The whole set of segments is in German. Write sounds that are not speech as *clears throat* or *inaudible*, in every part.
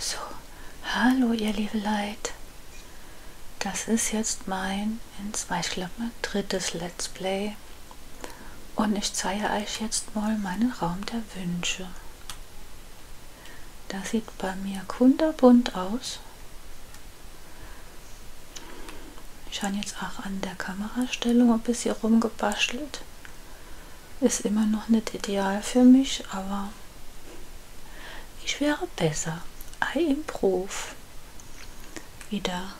So, hallo ihr liebe Leid. Das ist jetzt mein, ich glaube mein drittes Let's Play. Und ich zeige euch jetzt mal meinen Raum der Wünsche. Das sieht bei mir kunderbunt aus. Ich habe jetzt auch an der Kamerastellung ein bisschen rumgebastelt. Ist immer noch nicht ideal für mich, aber ich wäre besser. I improve. Wieder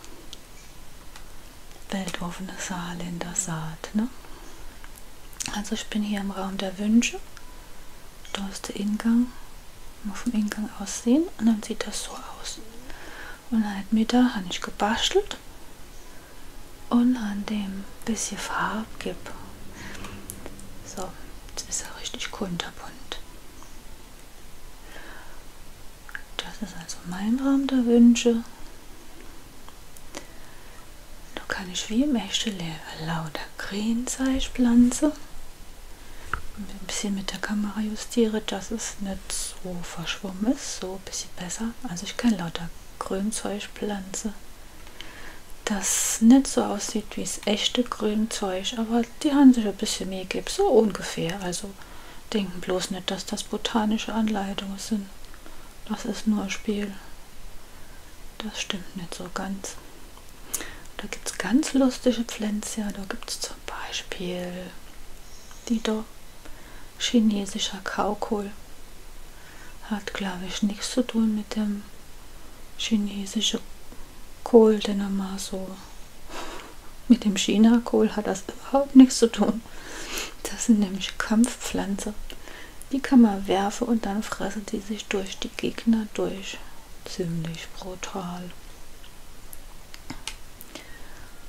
weltoffene Saal in der Saat. Ne? Also ich bin hier im Raum der Wünsche. Da ist der Ingang. Mal vom Ingang aussehen und dann sieht das so aus. Und dann mit da habe ich gebastelt Gold und an dem bisschen Farbe gebe. So, jetzt ist er richtig kunterbunt. Das ist also mein Raum der Wünsche. Da kann ich wie im echten Leben lauter Grünzeug pflanzen. Ein bisschen mit der Kamera justiere, dass es nicht so verschwommen ist, so ein bisschen besser. Also ich kann lauter Grünzeug pflanzen das nicht so aussieht wie das echte Grünzeug, aber die haben sich ein bisschen mehr gegeben, so ungefähr. Also denken bloß nicht, dass das botanische Anleitungen sind. Das ist nur ein Spiel. Das stimmt nicht so ganz. Da gibt es ganz lustige Pflänzchen. Da gibt es zum Beispiel die da chinesischer Kaukohl. Hat, glaube ich, nichts zu tun mit dem chinesischen Kohl, den er mal so. *laughs* Mit dem China-Kohl hat das überhaupt nichts zu tun. Das sind nämlich Kampfpflanzen. Die kann man werfen und dann fressen die sich durch die Gegner durch. Ziemlich brutal.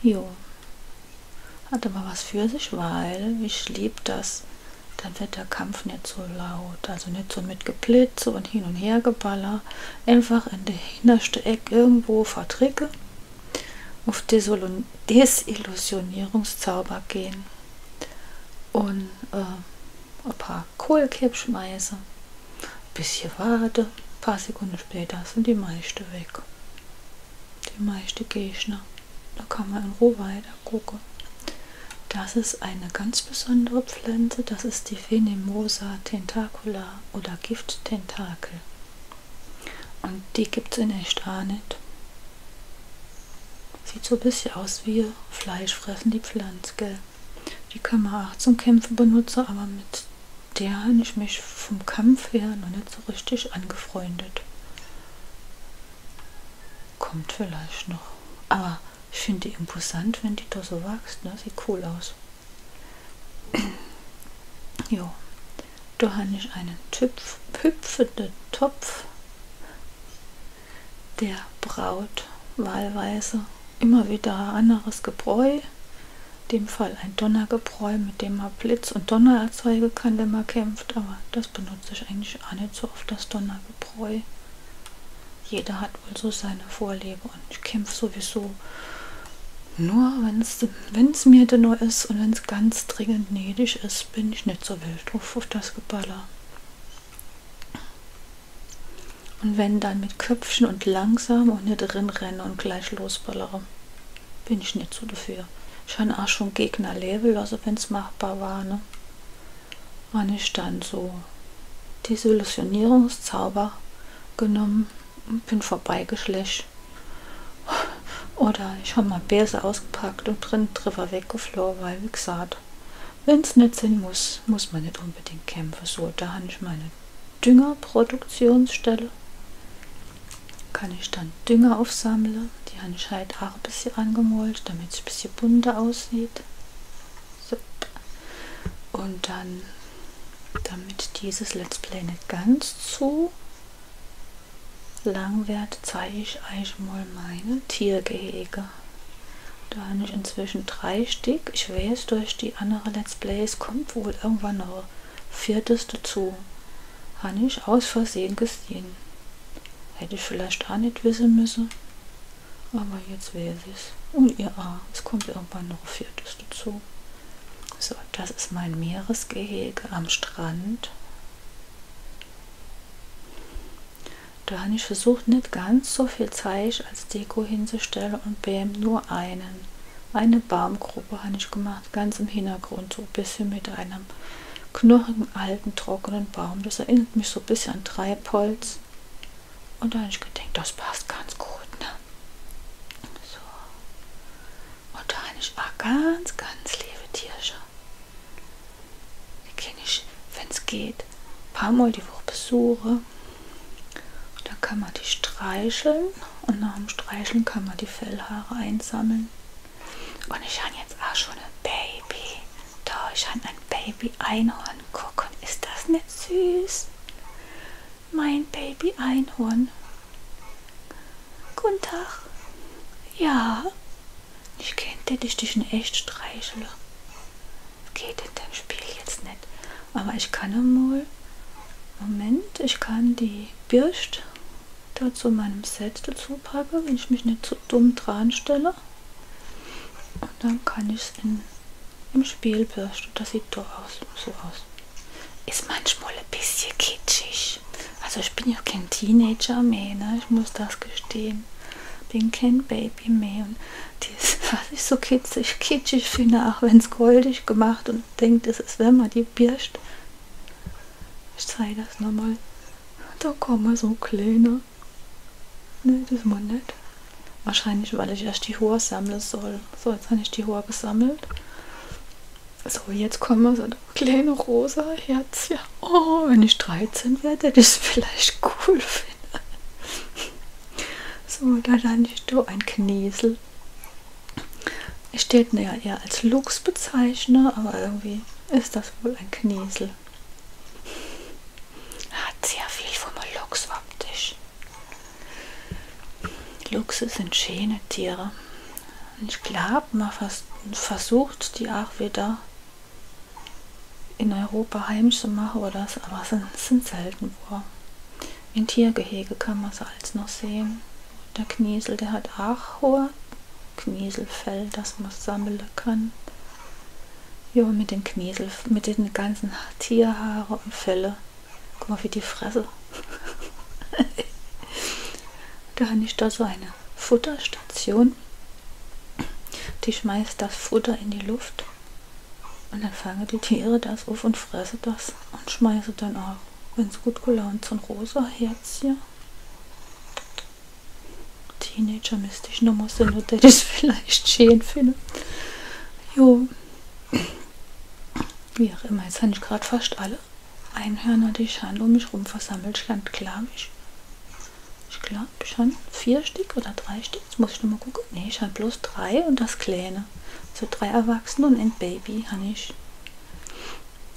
Jo, hat aber was für sich, weil ich liebe das. Dann wird der Kampf nicht so laut. Also nicht so mit Geblitze und hin und her geballer. Einfach in der hinterste Eck irgendwo vertricke. Auf Desil Desillusionierungszauber gehen. Und äh, ein paar Kohlkipp schmeiße. Bisschen warte. Ein paar Sekunden später sind die meisten weg die meisten Gegner. Da kann man in Ruhe weiter gucken. Das ist eine ganz besondere Pflanze, das ist die Phenemosa tentacula oder Gifttentakel. Und die gibt es in echt auch nicht. Sieht so ein bisschen aus wie Fleisch fressen, die Pflanze, gell? Die kann man auch zum Kämpfen benutzen, aber mit der habe ich mich vom Kampf her noch nicht so richtig angefreundet. Kommt vielleicht noch. Aber ich finde die imposant, wenn die da so wächst. Ne? Sieht cool aus. *clears throat* jo. Da habe ich einen Tüpf, hüpfenden Topf der Braut wahlweise immer wieder anderes Gebräu. In dem Fall ein Donnergebräu, mit dem man Blitz und Donner erzeugen kann, wenn man kämpft. Aber das benutze benutze ich eigentlich auch nicht so oft das Donnerbebräu. Jeder hat wohl so seine Vorliebe und ich kämpfe sowieso nur, wenn es mir denn nur ist und wenn es ganz dringend nötig ist, bin ich nicht so wild drauf auf das Geballer. Und wenn dann mit Köpfchen und langsam und nicht drin renne und gleich losballere bin ich nicht so dafür. Ich habe auch schon Gegnerlevel, also wenn es machbar war, ne? Habe ich dann so Desillusionierungszauber genommen und bin vorbeigeschlecht. Oder ich habe mal Bärse ausgepackt und drin drüber weggeflogen, weil wie gesagt, wenn es nicht sein muss, muss man nicht unbedingt kämpfen. So, da habe ich meine Düngerproduktionsstelle kann ich dann Dünger aufsammeln. Die habe ich halt auch ein bisschen angemalt, damit es ein bisschen bunter aussieht. So. Und dann, damit dieses Let's Play nicht ganz zu lang wird, zeige ich euch mal meine Tiergehege. Da habe ich inzwischen drei Stück. Ich weiß, durch die anderen Let's Plays kommt wohl irgendwann noch viertes dazu. Habe ich aus Versehen gesehen. Hätte ich vielleicht auch nicht wissen müssen. Aber jetzt weiß ich Und ihr A. Ah, es kommt irgendwann noch viertes dazu. So, das ist mein Meeresgehege am Strand. Da habe ich versucht, nicht ganz so viel Zeich als Deko hinzustellen und bäm nur einen. Eine Baumgruppe habe ich gemacht gemacht, ganz im Hintergrund, so ein bisschen mit einem knurrigen, alten, trockenen Baum. Das erinnert mich so ein bisschen an Treibholz. Und da habe ich gedacht, das passt ganz gut. Ne? So. Und da habe ich auch ganz, ganz liebe Tierchen. Die kann ich, wenn es geht, ein paar Mal die Woche besuche. Und dann kann man die streicheln und nach dem Streicheln kann man die Fellhaare einsammeln. Und ich habe jetzt auch schon ein Baby. Da, ich habe ein Baby-Einhorn. Gucken, ist das nicht süß? Mein Baby-Einhorn. Guten Tag. Ja, ich könnte dich, dich in echt streicheln. Das geht in dem Spiel jetzt nicht. Aber ich kann mal. Moment, ich kann die Bürste da zu meinem Set dazu packe, wenn ich mich nicht zu so dumm dran stelle. Und dann kann ich es im Spiel bürsten. Das sieht doch aus, so aus. Ist manchmal ein bisschen kitschig. Also ich bin ja kein Teenager mehr, ne? ich muss das gestehen. Bin kein Baby mehr. Und das, *laughs* was ich so kitschig, kitschig finde, auch wenn es goldig gemacht und denkt, es ist, wenn man die birscht, ich zeige das nochmal. Da kommen so kleine. Ne, das mal nicht. Wahrscheinlich, weil ich erst die Haare sammeln soll. So, jetzt habe ich die Haare gesammelt. So, jetzt kommen so kleine rosa Herz. Ja. Oh, wenn ich 13 werde, hätte ich es vielleicht cool finde. So, da dann ich so ein Knäsel. Ich stellte ihn ja eher als Luchs bezeichne, aber irgendwie ist das wohl ein Kniesel. Hat sehr viel vom Luchs optisch. Luchse sind schöne Tiere. Ich glaube, man vers versucht die auch wieder in Europa heimisch zu machen oder das, aber sind, sind selten wo. In Tiergehege kann man sie als noch sehen. Der Kniesel, der hat auch hohe Knieselfell, das man sammeln kann. Ja, mit den Kniesel, mit den ganzen Tierhaare und Felle. Guck mal, wie die Fresse. *laughs* da habe ich da so eine Futterstation. Die schmeißt das Futter in die Luft. Und dann fangen die Tiere das auf und fressen das und schmeißen dann auch, wenn es gut gelaunt sind, rosa Herzchen Teenager müsste ich nochmal sein, oder ich es *laughs* vielleicht schön finde. Jo. Wie auch immer, jetzt habe ich gerade fast alle Einhörner, die ich um mich rum versammelt stand, glaube ich. Ich glaube schon vier Stück oder drei Stück. Jetzt muss ich nochmal gucken. Ne, ich habe bloß drei und das Kleine. So drei Erwachsene und ein Baby habe ich.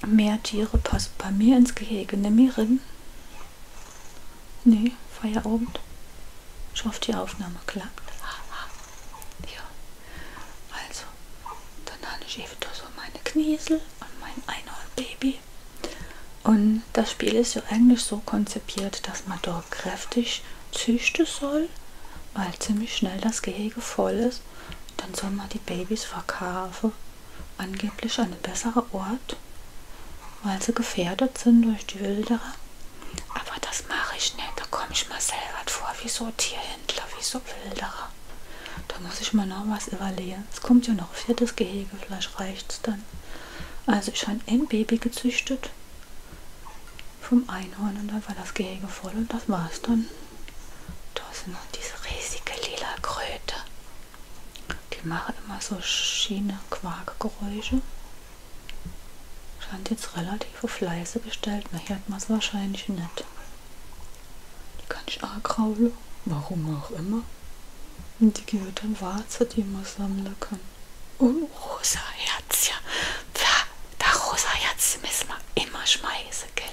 Mehr Tiere passen bei mir ins Gehege. Nimm mir Rinnen. Nee, Feierabend. Ich hoffe, die Aufnahme klappt. Ja. Also, dann habe ich eben so meine Kniesel und mein Einhornbaby. Und das Spiel ist ja eigentlich so konzipiert, dass man dort kräftig züchten soll, weil ziemlich schnell das Gehege voll ist, dann soll man die Babys verkaufen. Angeblich an einen besseren Ort, weil sie gefährdet sind durch die Wilderer. Aber das mache ich nicht. Da komme ich mir selber vor, wie so Tierhändler, wie so Wilderer. Da muss ich mir noch was überlegen. Es kommt ja noch ein viertes Gehege, vielleicht reicht es dann. Also ich habe ein Baby gezüchtet vom Einhorn und dann war das Gehege voll und das war's dann. Da sind noch diese riesige lila Kröte. Die machen immer so schiene Quarkgeräusche. Scheint jetzt relativ auf leise gestellt. Na, hier hat man es wahrscheinlich nicht. Die kann ich ankraulen. Warum auch immer. Und die gehört an Warze, die man sammeln kann. Und rosa Herzchen. Ja, da rosa Herzchen müssen wir immer schmeißen, gell?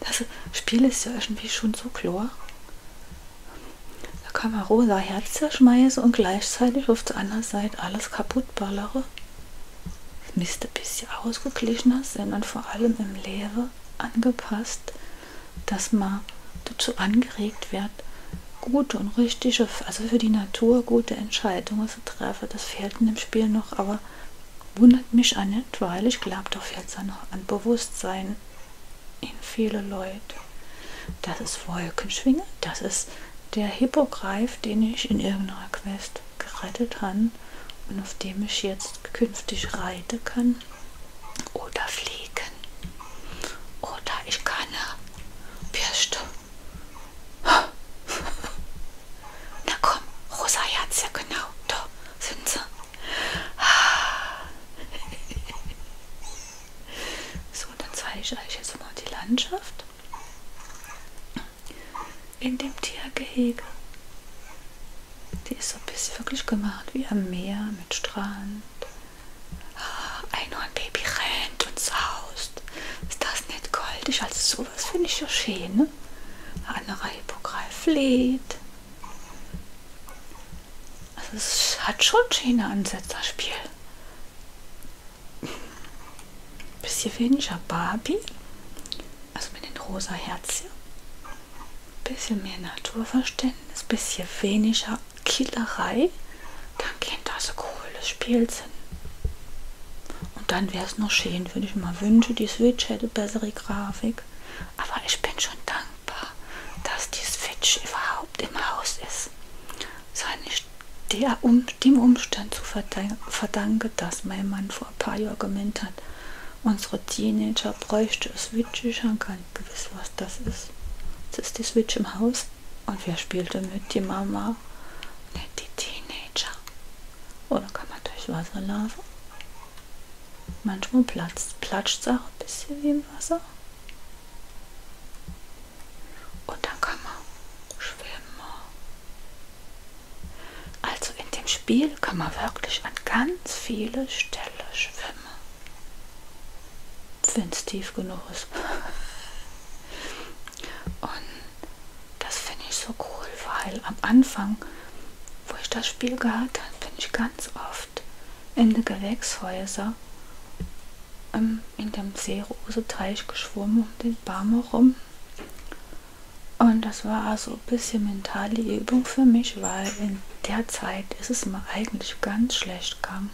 Das Spiel ist ja irgendwie schon so klar. Da kann man rosa Herz schmeißen und gleichzeitig auf der anderen Seite alles kaputt ballere. Das müsste ein bisschen ausgeglichener sein und vor allem im Lehre angepasst, dass man dazu angeregt wird, gute und richtige, also für die Natur gute Entscheidungen zu treffen. Das fehlt in dem Spiel noch, aber wundert mich auch nicht, weil ich glaube doch jetzt an, an Bewusstsein in viele Leute. Das ist Wolkenschwinge, das ist der Hippogreif, den ich in irgendeiner Quest gerettet habe und auf dem ich jetzt künftig reiten kann oder fliegen oder ich kann Bürste. Na komm, rosa Herz, ja genau. Da sind sie. Ah. So, dann zeige ich euch jetzt mal die Landschaft in dem Tiergehege. Die ist so ein bisschen wirklich gemacht wie am Meer mit Strand. Ah, Einhornbaby rennt und saust. Ist das nicht goldig? Also so sowas finde ich ja schön. Ne? Andere Hippogreif lädt. Also es hat schon schöne Ansätze, das Spiel. Bisschen weniger Barbie. Also mit den rosa Herzchen. Bisschen mehr Naturverständnis, bisschen weniger Killerei. Dann könnte das ein cooles Spiel sein. Und dann wäre es noch schön, wenn ich mal wünsche, die Switch hätte bessere Grafik. Aber ich bin schon dankbar, dass die Switch überhaupt im Haus ist. Sei nicht der, um, dem Umstand zu verdanken, dass mein Mann vor ein paar Jahren gemeint hat, unsere Teenager bräuchte eine Switch. Ich habe gar nicht gewusst, was das ist. Es ist die Switch im Haus und wer spielte mit? Die Mama? Nicht die Teenager. Oder kann man durch Wasser laufen? Manchmal platzt es auch ein bisschen wie im Wasser. Und dann kann man schwimmen. Also in dem Spiel kann man wirklich an ganz viele Stellen schwimmen. Wenn es tief genug ist. *laughs* Und das finde ich so cool, weil am Anfang, wo ich das Spiel gehabt habe, bin ich ganz oft in die Gewächshäuser ähm, in dem Seeroseteich geschwommen, um den Barmer rum. Und das war also ein bisschen mentale Übung für mich, weil in der Zeit ist es mir eigentlich ganz schlecht gegangen.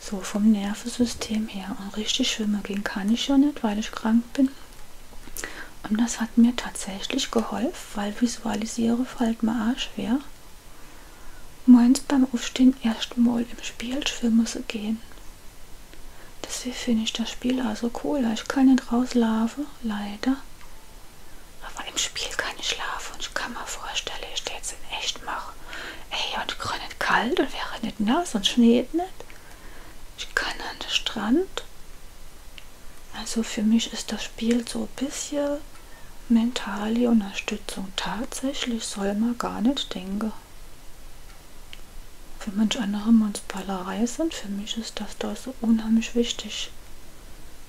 So vom Nervensystem her. Und richtig schwimmen gehen kann ich ja nicht, weil ich krank bin. Und das hat mir tatsächlich geholfen, weil visualisiere fällt halt mir auch schwer. Meins beim Aufstehen erstmal im Spiel schwimmen zu gehen. Deswegen finde ich das Spiel auch so cool. Ich kann nicht rauslaufen, leider. Aber im Spiel kann ich schlafen und ich kann mir vorstellen, ich stehe jetzt in echt machen. Ey, und ich nicht kalt und wäre nicht nass und schneit nicht. Ich kann an den Strand. Also für mich ist das Spiel so ein bisschen mentale Unterstützung. Tatsächlich soll man gar nicht denken. Für manch andere muss Ballerei sind, für mich ist das da so unheimlich wichtig.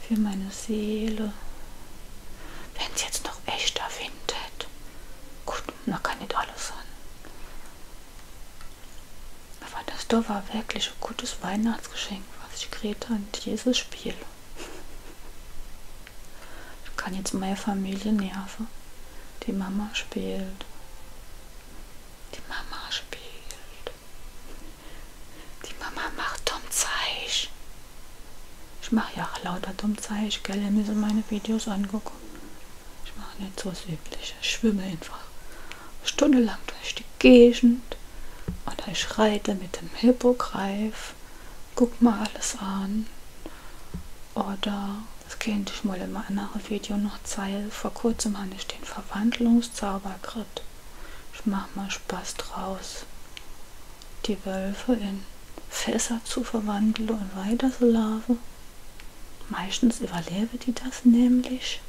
Für meine Seele. Wenn es jetzt noch echter windet. Gut, man kann nicht alles sein. Aber das da war wirklich ein gutes Weihnachtsgeschenk, was ich Greta in dieses Spiel. Ich kann jetzt meine Familie nerven. Die Mama spielt. Die Mama spielt. Die Mama macht dumm Zeich. Ich mache ja auch lauter dumm Zeich, gell? Ihr müsst meine Videos angucken. Ich mache jetzt was Übliches. Ich schwimme einfach stundenlang durch die Gegend und ich reite mit dem Hippogreif. Guck mal alles an. Oder, das könnte ich mal in einem anderen Video noch zeigen, vor kurzem hatte ich den Verwandlungszaubergrit. Ich mache mal Spaß draus, die Wölfe in Fässer zu verwandeln und weiter zu laufen. Meistens überlebe die das nämlich.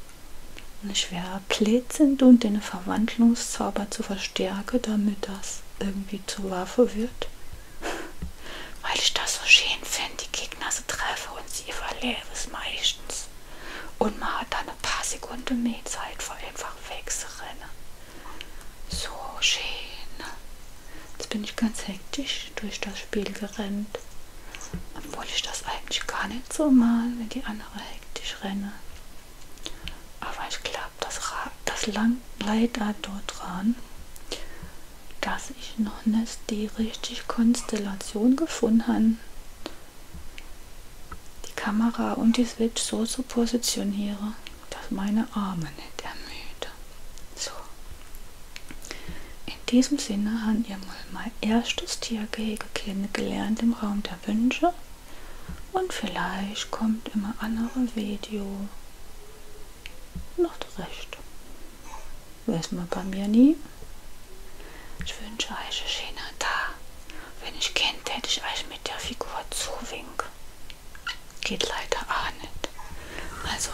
Ein schwerer Plät sind und den Verwandlungszauber zu verstärken, damit das irgendwie zur Waffe wird. *laughs* Weil ich das so schön finde, die Gegner sie treffe und sie überlebe es meistens. Und man hat dann ein paar Sekunden mehr Zeit, vor einfach wegzurennen. So schön. Jetzt bin ich ganz hektisch durch das Spiel gerannt. Obwohl ich das eigentlich gar nicht so mal, wenn die andere hektisch renne. Aber ich glaube, das, das leidet dort dran, dass ich noch nicht die richtige Konstellation gefunden habe, die Kamera und die Switch so zu positionieren, dass meine Arme nicht ermüden. So. In diesem Sinne haben ihr mal mein erstes Tiergehege kennengelernt im Raum der Wünsche und vielleicht kommt immer andere Video noch zurecht. Weiß man bei mir nie. Ich wünsche euch einen schönen Tag. Wenn ich kennt, hätte ich euch mit der Figur zuwinken. Geht leider auch nicht. Also